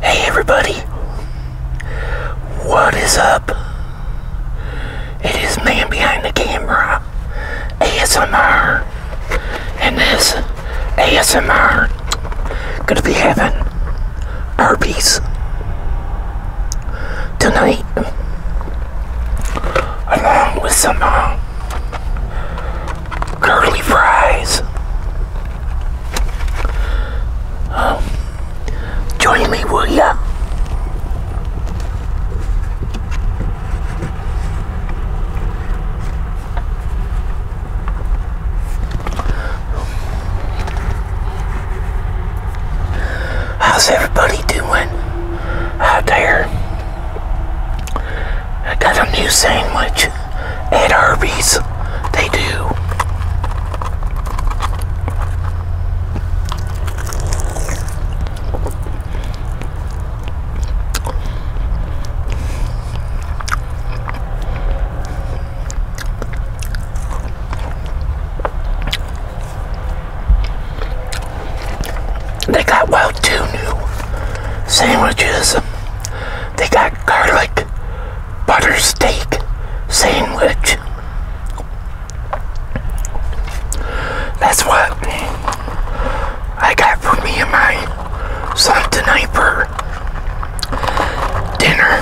Hey everybody, what is up? It is man behind the camera, ASMR, and this ASMR gonna be having Arby's tonight, along with some uh, curly fries. Um, join me, will ya? How's everybody doing out there? I got a new sandwich and Herbie's, They do. They got well two sandwiches they got garlic butter steak sandwich. That's what I got for me and my son tonight for dinner.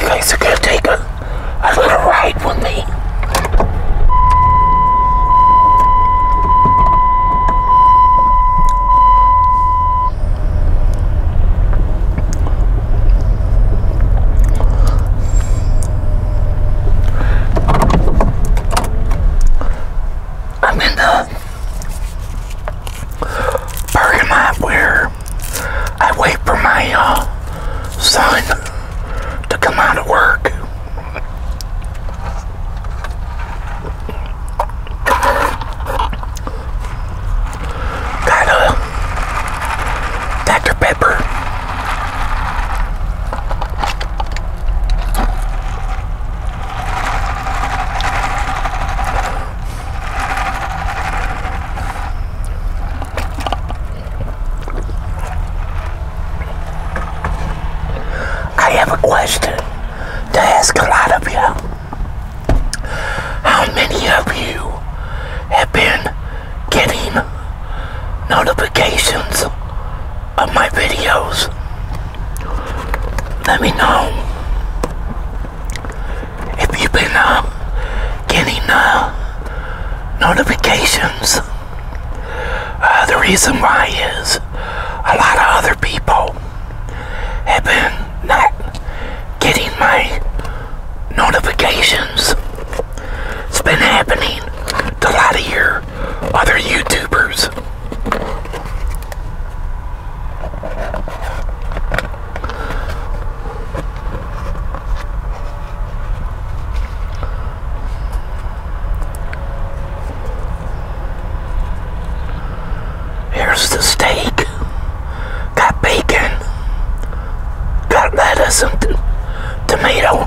You guys are take a, a little ride with me. I'm in the parking lot where I wait for my uh, son to come out of work. Got a Dr. Pepper. I have a question to ask a lot of you. How many of you have been getting notifications of my videos? Let me know if you've been uh, getting uh, notifications. Uh, the reason why is a lot of other people have been not getting my notifications. It's been happening to a lot of your other YouTubers. Here's the steak. Got bacon. Got lettuce and tomato.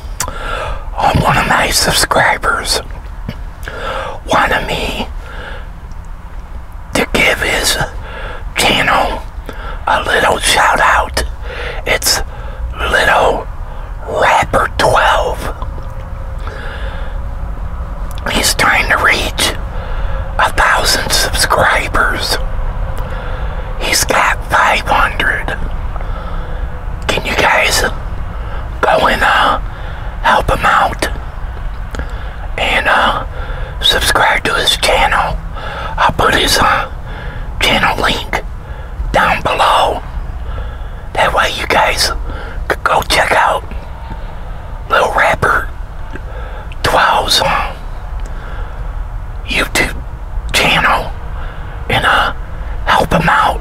on one of my subscribers wanted me to give his channel a little shout out. It's Little Rapper 12. He's trying to reach a thousand subscribers. He's got 500 can you guys go and uh, help him out and uh, subscribe to his channel. I'll put his uh, channel link down below. That way you guys could go check out Little Rapper 12's uh, YouTube channel and uh, help him out.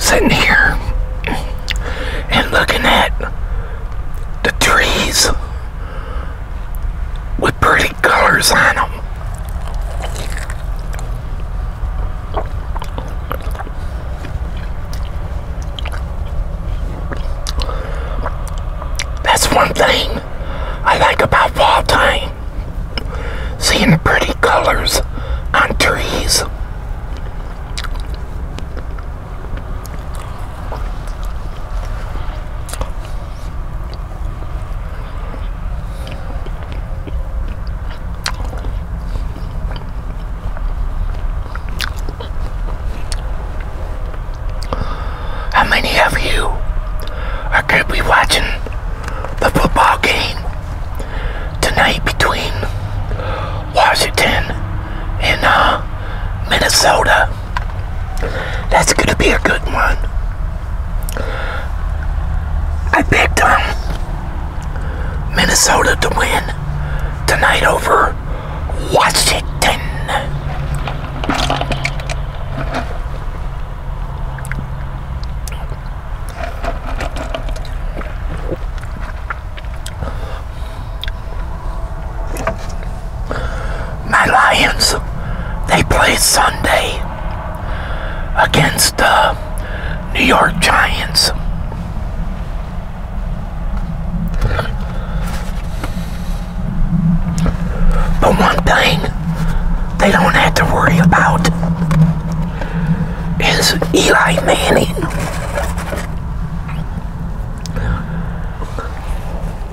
Sitting here and looking at the trees with pretty colors on them. That's one thing I like about fall time. Seeing the pretty colors on trees. How many of you are going to be watching the football game tonight between Washington and uh, Minnesota? That's gonna be a good one. I picked um, Minnesota to win tonight over Washington. My Lions, they play Sunday against the New York Giants. But one thing they don't have to worry about is Eli Manning.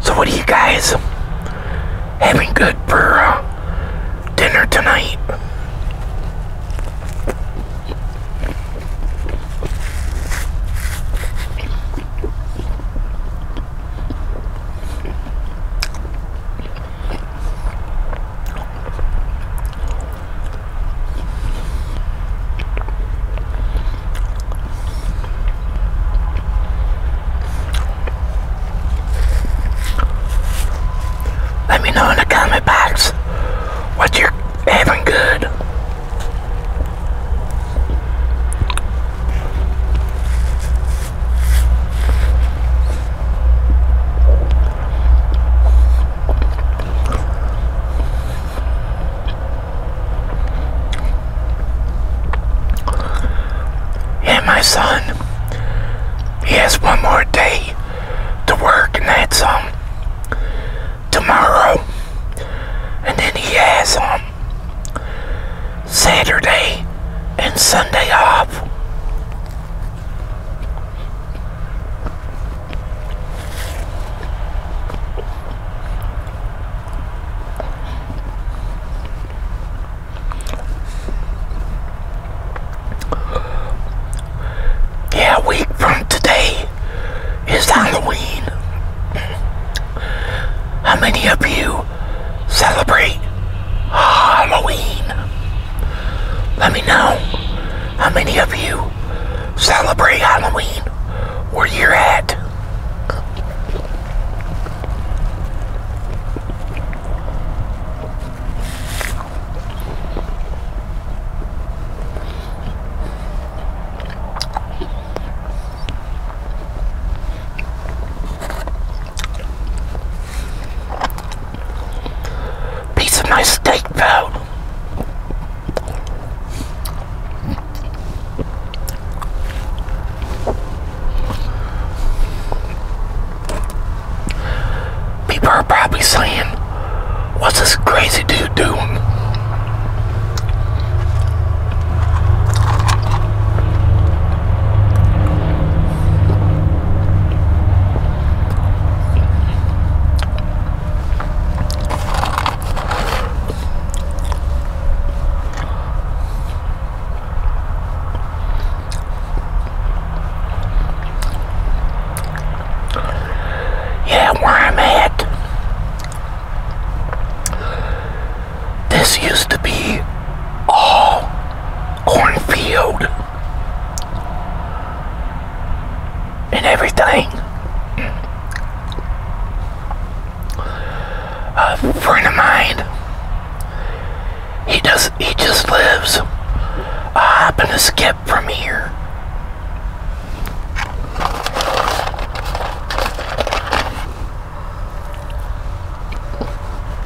So what are you guys having good for uh, dinner tonight? Let me know in the comment box what you're having good. And my son, he has one more day to work, and that's um tomorrow. And then he has um Saturday and Sunday off. Yeah, a week from today is Halloween. How many of you celebrate Halloween. Let me know how many of you celebrate Halloween where you're at. Piece of my steak out. People are probably saying, what's this crazy dude doing? Yeah, where I'm at. This used to be all cornfield and everything. A friend of mine, he does he just lives a hop and skip from here.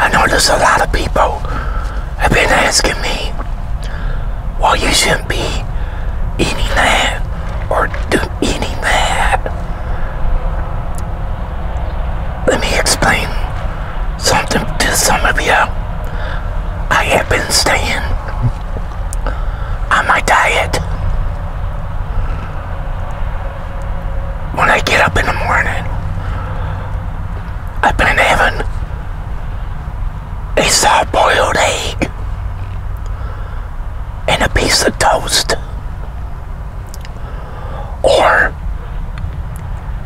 I know there's a lot of people have been asking me, why you shouldn't be eating that or do eating that. Let me explain something to some of you. I have been staying on my diet. When I get up in the morning, I've been having a soft boiled egg and a piece of toast or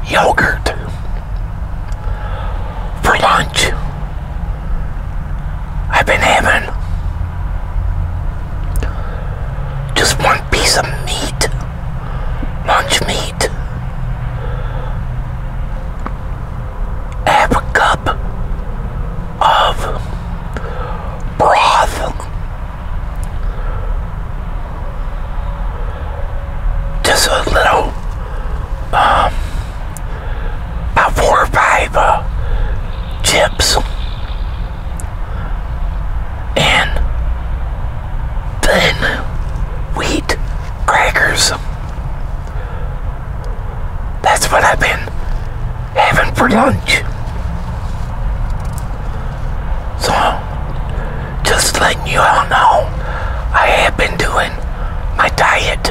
yogurt for lunch. I've been having just one piece of meat, lunch meat. a cup of broth just a little, um, about four or five uh, chips. And then wheat crackers. That's what I've been having for lunch. So, just letting you all know I have been doing my diet.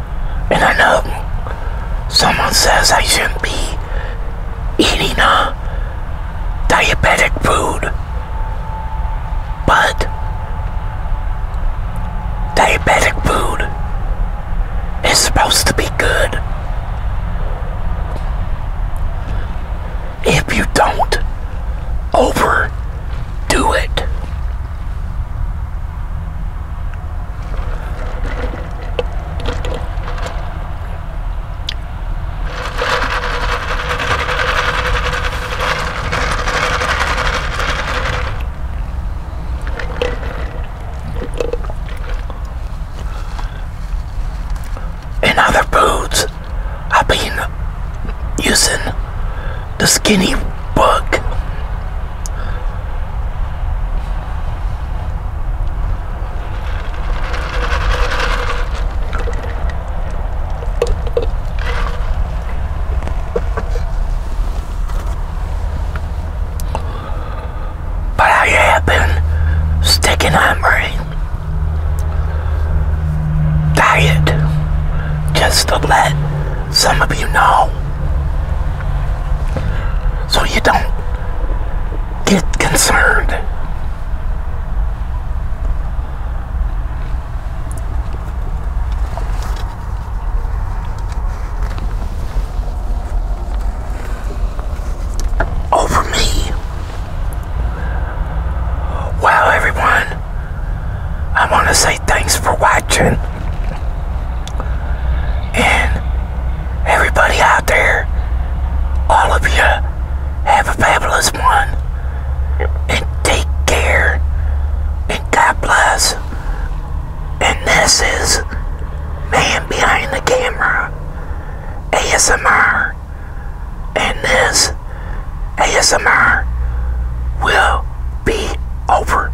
And I know someone says I shouldn't be eating a uh, diabetic food, but diabetic food is supposed to be good. If you don't overdo it and other foods I've been using the skinny book but I have been sticking on my diet just to let some of you know. So you don't get concerned. Over me. Well, everyone, I want to say thanks for watching. And everybody out there, all of you, have a fabulous one. And take care. And God bless. And this is Man Behind the Camera ASMR. And this ASMR will be over.